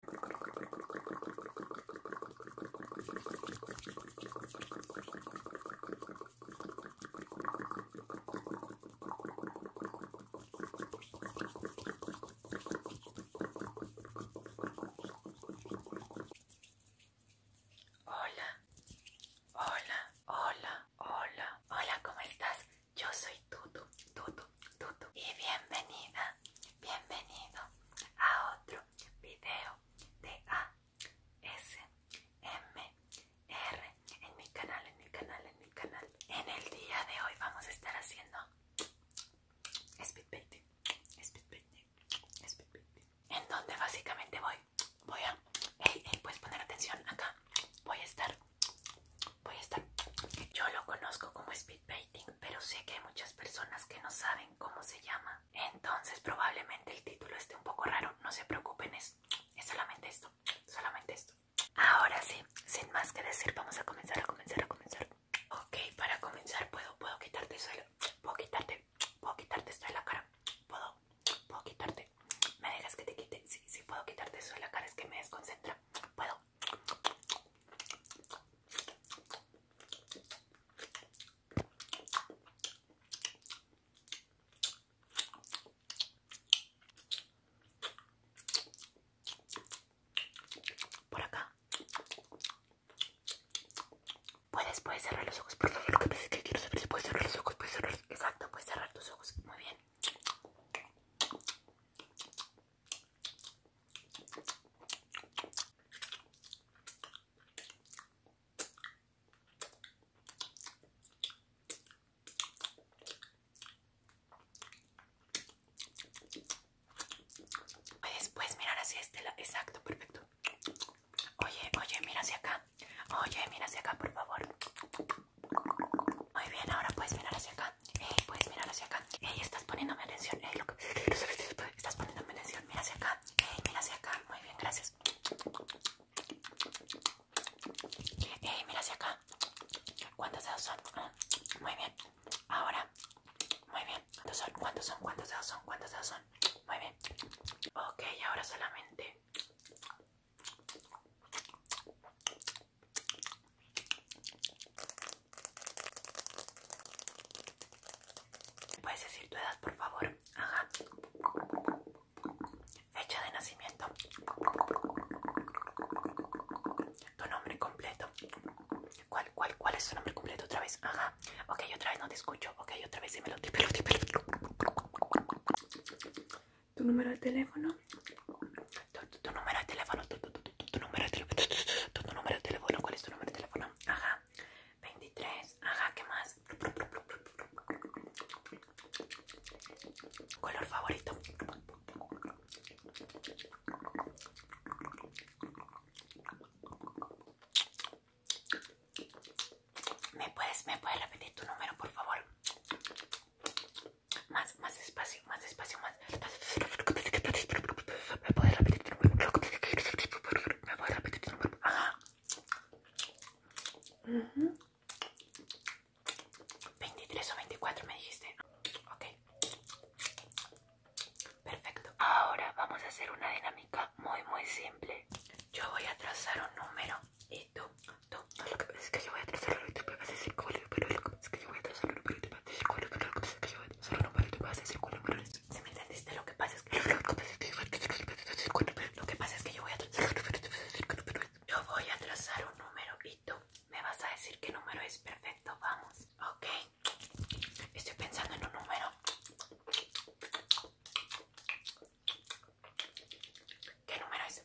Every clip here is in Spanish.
Hola, hola, hola, hola, hola, ¿cómo estás? Yo soy Tutu, Tutu, y bienvenida, bienvenido a otro video de ASMR en mi canal, en mi canal, en mi canal. En el día de hoy vamos a estar haciendo speed painting, speed speed painting. En donde básicamente voy, voy a, hey, puedes poner atención acá. Voy a estar, voy a estar. Yo lo conozco como speed pero sé que hay muchas personas que no saben cómo se llama. Entonces probablemente el título esté un poco raro, no se preocupen, es, es solamente esto, solamente esto. Ahora sí, sin más que decir, vamos a comenzar, a comenzar, a comenzar. Ok, para comenzar puedo, puedo quitarte suelo, puedo quitarte, puedo quitarte esto de la cara, puedo, puedo quitarte, me dejas que te quite, sí, sí, puedo quitarte eso de la cara, es que me desconcentra, puedo, por acá. Puedes, puedes cerrar los ojos, por favor. Lo que me que quiero saber si puedes cerrar los ojos, Exacto, puedes cerrar tus ojos. Muy bien. Después mirar hacia este lado. Exacto, perfecto. Oye, oye, mira hacia acá. Oye, mira hacia acá, por favor. Muy bien, ahora puedes mirar hacia acá. puedes mirar hacia acá. estás poniéndome atención. Estás poniéndome atención. Mira hacia acá. mira hacia acá. Muy bien, gracias. mira hacia acá. ¿Cuántos dedos son? Ah, muy bien. Ahora. Muy bien. ¿Cuántos son? ¿Cuántos son? ¿Cuántos dedos son? ¿Cuántos dedos son? Muy bien. Ok, ahora solamente puedes decir tu edad, por favor? Ajá. Fecha de nacimiento. Tu nombre completo. ¿Cuál, cuál, cuál es tu nombre completo? Otra vez. Ajá. Ok, otra vez no te escucho. Ok, otra vez dímelo. Dímelo, dímelo tu número de teléfono, tu, número de teléfono, tu, tu, tu número de teléfono, tu, número de teléfono, ¿cuál es tu número de teléfono? Ajá, 23, ajá, ¿qué más? Color favorito. ¿Me puedes, ¿Me puedes repetir tu número, por favor? más, más espacio, más espacio, más Me Me repetir. 23 o 24 me dijiste. Ok. Perfecto. Ahora vamos a hacer una dinámica muy, muy simple. Yo voy a trazar un número y tú, tú. lo que es que yo voy a trazar me que yo voy a que entendiste? Lo que pasa es que Lo que pasa es que yo voy a trazar Yo voy a trazar un número y tú me vas a decir qué número es. Perfecto, vamos. Ok. Estoy pensando en un número. ¿Qué número es?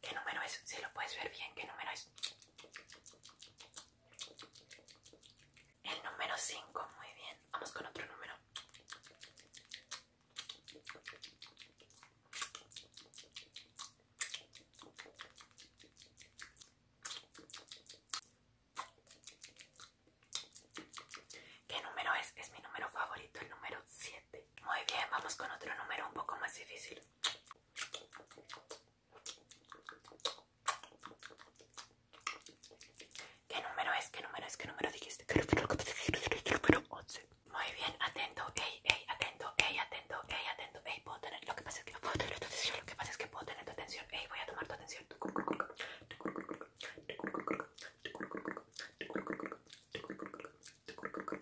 ¿Qué número es? Si lo puedes ver bien, ¿qué número es? El número 5, muy bien. Vamos con otro número. ¿Qué número es? Es mi número favorito, el número 7. Muy bien, vamos con otro número un poco más difícil. ¿Qué número es? ¿Qué número es? ¿Qué número dijiste? Muy bien, atento, ey, ey, atento, ey, atento, ey, atento, ey, puedo tener, lo que pasa es que puedo tener tu atención, lo que pasa es que puedo tener tu atención, ey, voy a tomar tu atención.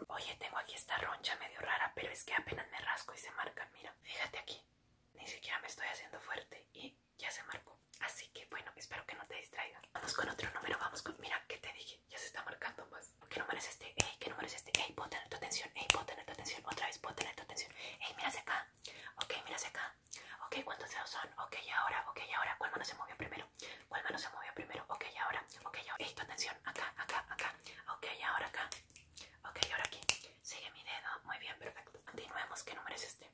Oye, tengo aquí esta roncha medio rara, pero es que apenas me rasco y se marca. Mira, fíjate aquí. Ni siquiera me estoy haciendo fuerte y ya se marcó. Así que bueno, espero que no te distraiga. Vamos con otro número, vamos con... Mira, ¿qué te dije? Ya se está marcando más. ¿Qué número es este? Ey, ¿qué número es este? Ey, pon tener tu atención. Ey, pon tener tu atención. Otra vez, pon tener tu atención. Ey, mira acá. Ok, mira hacia acá. Ok, ¿cuántos dedos son? Ok, y ahora, ok, y ahora. ¿Cuál mano se movió primero? ¿cuál mano se movió primero? Ok, ahora, ok, ahora. tu atención, acá, acá, acá. Ok, ahora acá. Ok, ahora aquí. Sigue mi dedo. Muy bien, perfecto. Continuemos. ¿Qué número es este?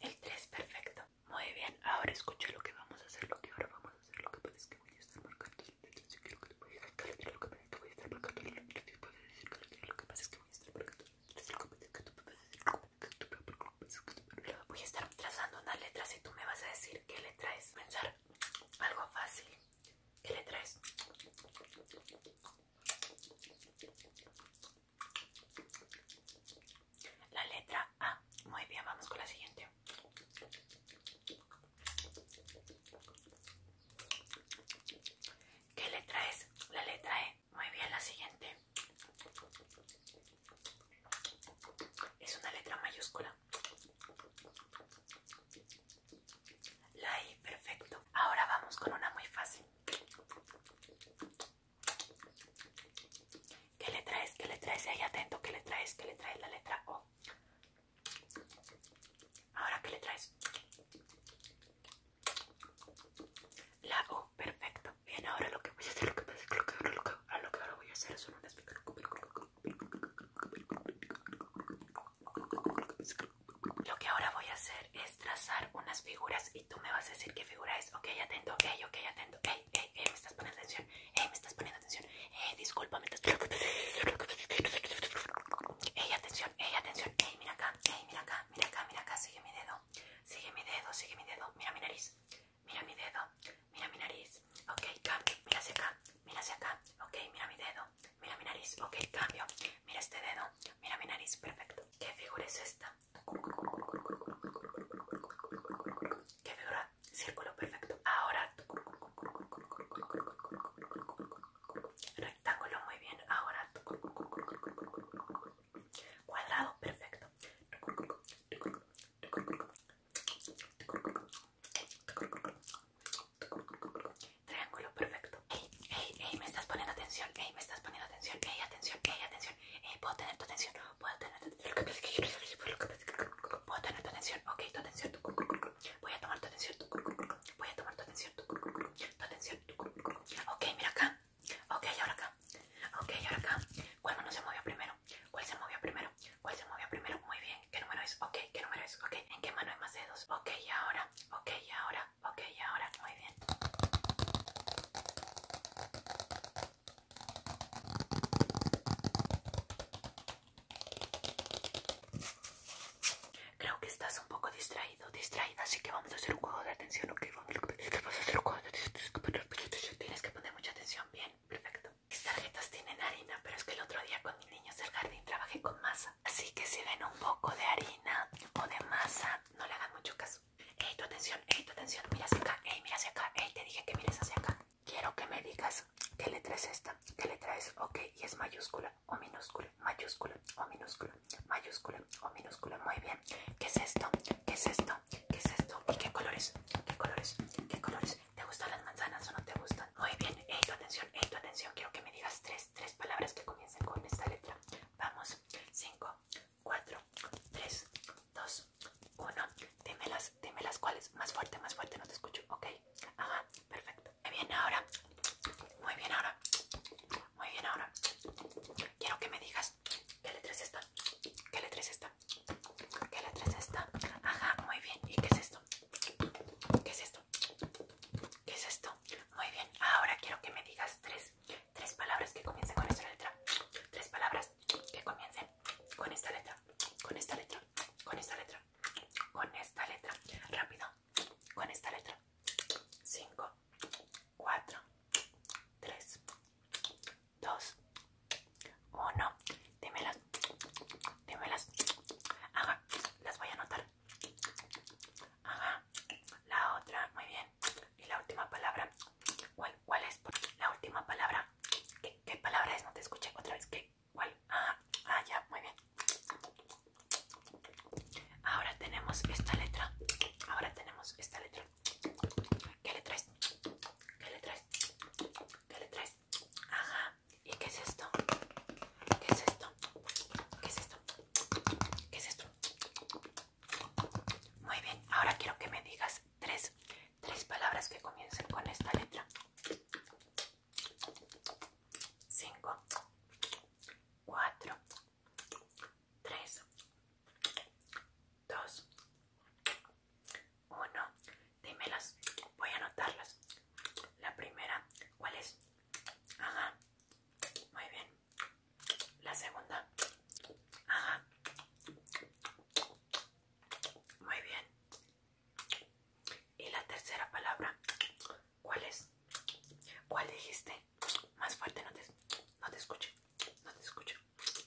El 3, perfecto. Muy bien, ahora escucha lo que vamos a hacer, lo que ahora vamos a hacer, lo que puedes que voy a estar marcando. Yo quiero que te voy a lo que voy a estar trazando unas letras y tú me vas a decir qué letra es Pensar algo fácil. ¿Qué letra es? La letra A. Muy bien, vamos con la siguiente. ¿Qué letra es? La letra E. Muy bien, la siguiente. Es una letra mayúscula. La I, perfecto. Ahora vamos con una muy fácil. ¿Qué letra es? ¿Qué le es? Ahí atento, ¿qué le es? ¿Qué le es? La letra O. Ahora, que le traes? La U, perfecto. Bien, ahora lo que voy a hacer, lo que, que, ahora, lo que ahora voy a hacer Lo que ahora voy a hacer es trazar unas figuras y tú me vas a decir qué figura es. Ok, atento, ok, ok, atento, ey, ey, ey, me estás poniendo atención, ey, me estás poniendo atención. Eh, discúlpame. Ey, atención, ey, atención. Ey, mira acá, ey, mira acá, mira acá, mira acá. Sigue mi dedo. Sigue mi dedo, sigue mi dedo. Mira mi nariz. Mira mi dedo. Mira mi nariz. Ok, cambio. Mira hacia acá. Mira hacia acá. Ok, mira mi dedo. Mira mi nariz. Ok, cambio. Mira este dedo. Mira mi nariz. Perfecto. ¿Qué figura es esta? ¿Qué figura? Círculo. Perfecto. Ahora. Rectángulo, muy bien. Ahora cuadrado, perfecto. Triángulo, perfecto. Ey, ey, ey, me estás poniendo atención. Ey, me estás poniendo atención. Ey, atención, ey, atención. puedo tener tu atención. Puedo tener tu atención. Puedo tener tu atención. Ok, tu atención. Voy a tomar tu atención. Voy a tomar tu atención. Tu atención. Ok, mira acá. Ok, ahora acá. Ok, ahora acá. ¿Cuál mano se movió primero? ¿Cuál se movió primero? ¿Cuál se movió primero? Muy bien. ¿Qué número es? Ok, ¿qué número es? Ok, ¿en qué mano hay más dedos? Ok, y ahora. Ok, y ahora. Ok, y ahora. Muy bien. Creo que estás un poco distraído, Distraído, así que vamos a hacer un juego de atención, ¿ok? Vamos a hacer un juego de atención. Tienes que poner mucha atención, bien, perfecto. Mis tarjetas tienen harina, pero es que el otro día con mis niños del jardín trabajé con masa. Así que si ven un poco de harina o de masa, no le hagan mucho caso. Ey, tu atención, ey, tu atención, mira hacia acá, ey, mira hacia acá, ey, te dije que mires hacia acá quiero que me digas qué letra es esta, qué letra es, ok, y es mayúscula o minúscula, mayúscula o minúscula, mayúscula o minúscula, muy bien, ¿qué es esto? ¿Qué es esto? ¿Qué es esto? ¿Y qué colores? ¿Qué colores? ¿Qué colores? ¿Te gustan las manzanas o no te gustan? Muy bien, eh, tu atención, eh, tu atención, quiero que me digas tres, tres palabras que comiencen con esta letra. Vamos, cinco, cuatro, tres, dos, uno, dímelas, dímelas cuáles, más fuerte, más fuerte, no te escucho, ok, Ajá, perfecto. Muy bien ahora. Muy bien ahora. Muy bien ahora. Quiero que me digas qué letra es esta. ¿Qué letra es esta? ¿Qué letra es esta? Ajá, muy bien. ¿Y qué es esto? ¿Qué es esto? ¿Qué es esto? Muy bien. Ahora quiero que me digas tres, tres palabras que comiencen con esta letra. Tres palabras que comiencen con esta letra. Con esta letra con esta letra, con esta letra, rápido, con esta letra, 5, 4, 3, 2, 1, dímelas, dímelas, haga, las voy a anotar, haga, la otra, muy bien, y la última palabra, ¿cuál, cuál es la última palabra? ¿Qué, ¿Qué palabra es? No te escuché otra vez, ¿qué? bueno Ah, ah, ya, muy bien. Ahora tenemos esta letra. Ahora tenemos esta letra. ¿Qué le traes? ¿Qué le traes? ¿Qué le traes? Ajá. ¿Y qué es esto? ¿Qué es esto? ¿Qué es esto? ¿Qué es esto? Muy bien. Ahora quiero que me digas tres tres palabras que comiencen con esta letra. Cinco, cuatro, tres, dos, uno. Dímelas, voy a anotarlas. La primera, ¿cuál es? Ajá, muy bien. La segunda, ajá. Muy bien. Y la tercera palabra, ¿cuál es? ¿Cuál dijiste? Más fuerte, no te, no escucho. No te escucho.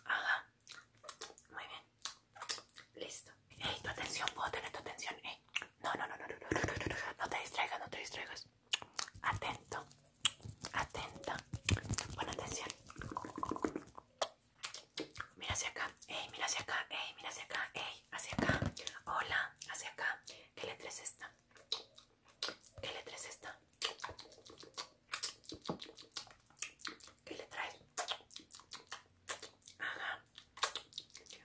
Ajá. Muy bien. Listo. Ey, tu atención, puedo tener tu atención. No, no, no, no, no, no, no, te distraigas, no te distraigas. Atento, atenta, pon atención. Mira hacia acá, ey, mira hacia acá, ey, mira hacia acá, ey, hacia acá. Hola, hacia acá. ¿Qué letra es esta? ¿Qué letra es esta? ¿Qué le es? Ajá.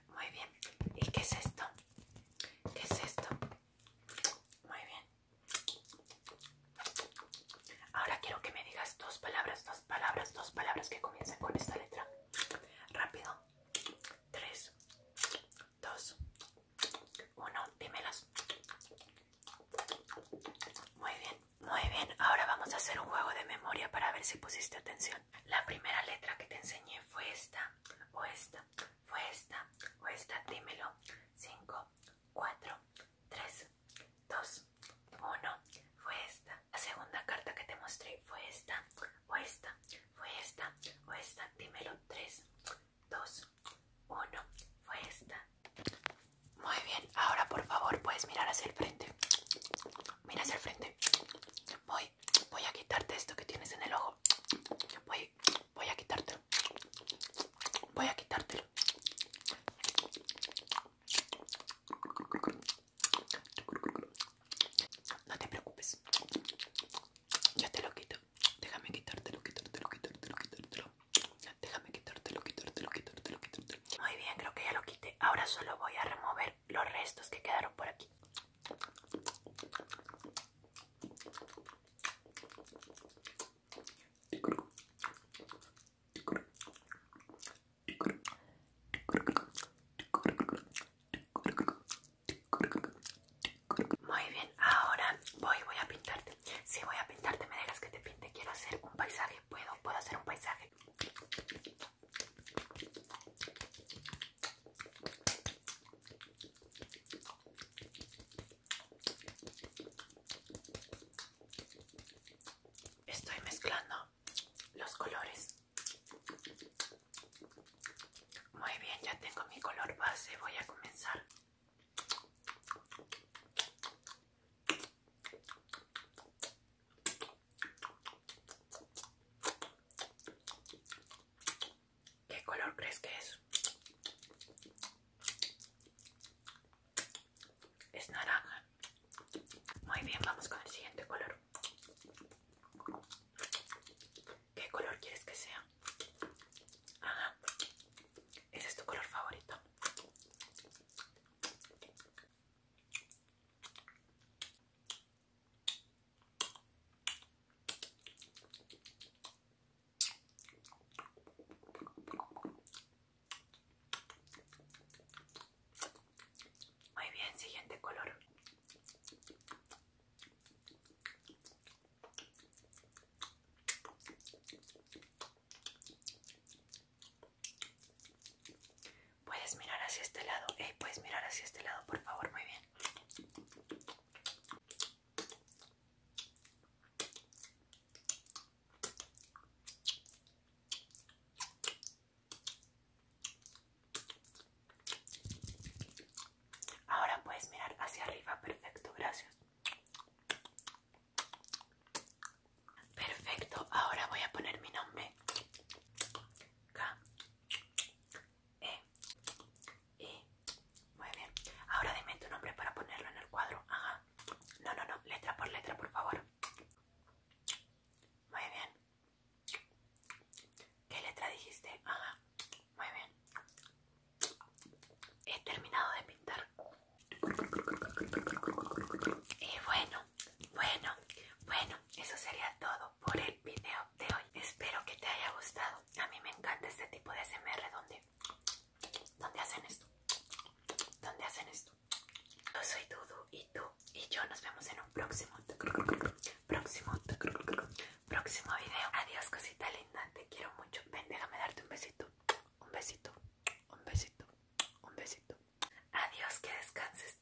Muy bien. ¿Y qué es esto? ¿Qué es esto? Muy bien. Ahora quiero que me digas dos palabras, dos palabras, dos palabras que comiencen con esta letra. Rápido. Tres, dos, uno. Dímelas. Muy bien, muy bien. Ahora vamos a hacer un juego de memoria para ver si pusiste atención. La primera letra que te enseñé fue esta, o esta, fue esta, o esta. Dímelo. Cinco, cuatro, tres, 2, 1. Fue esta. La segunda carta que te mostré fue esta, o esta, fue esta, o esta. Dímelo. 3, 2, 1. Fue esta. Muy bien. Ahora, por favor, puedes mirar hacia el frente. Mira hacia el frente. Voy, voy a quitarte esto que tienes en el ojo. Voy, voy a quitarte Voy a quitártelo. No te preocupes. Yo te lo quito. Déjame quitártelo, quitártelo, quitártelo, quitártelo. Déjame quitártelo, quitártelo, quitártelo, quitártelo. Muy bien, creo que ya lo quité. Ahora solo voy a remover los restos que quedaron por aquí. Muy bien, ahora voy, voy a pintarte. Si voy a pintarte, me dejas que te pinte. Quiero hacer un paisaje. Puedo, puedo hacer un paisaje. Estoy mezclando los colores. Muy bien, ya tengo mi color base. Voy a comenzar. ¿Qué color crees que es? Es naranja. Muy bien, vamos con el siguiente color. ¿Qué color quieres que sea? Ajá. Ese es tu color favorito. Muy bien, siguiente color. Puedes mirar hacia este lado, puedes mirar hacia este lado, por favor, muy bien. Ahora puedes mirar hacia arriba, perfecto, gracias. Perfecto, ahora voy a poner mi nombre. K E y muy bien. Ahora dime tu nombre para ponerlo en el cuadro. Ajá. No, no, no. Letra por letra, por favor. Muy bien. ¿Qué letra dijiste? Ajá. Muy bien. He terminado de pintar. Y bueno, bueno, bueno, eso sería todo por el video de hoy. Espero que te haya gustado. A mí me encanta este tipo de SMR donde ¿dónde hacen esto? ¿Dónde hacen esto? Yo soy Dudu y tú y yo nos vemos en un próximo, próximo, próximo video. Adiós, cosita linda, te quiero mucho. Ven, déjame darte un besito, un besito, un besito, un besito. Adiós, que descanses.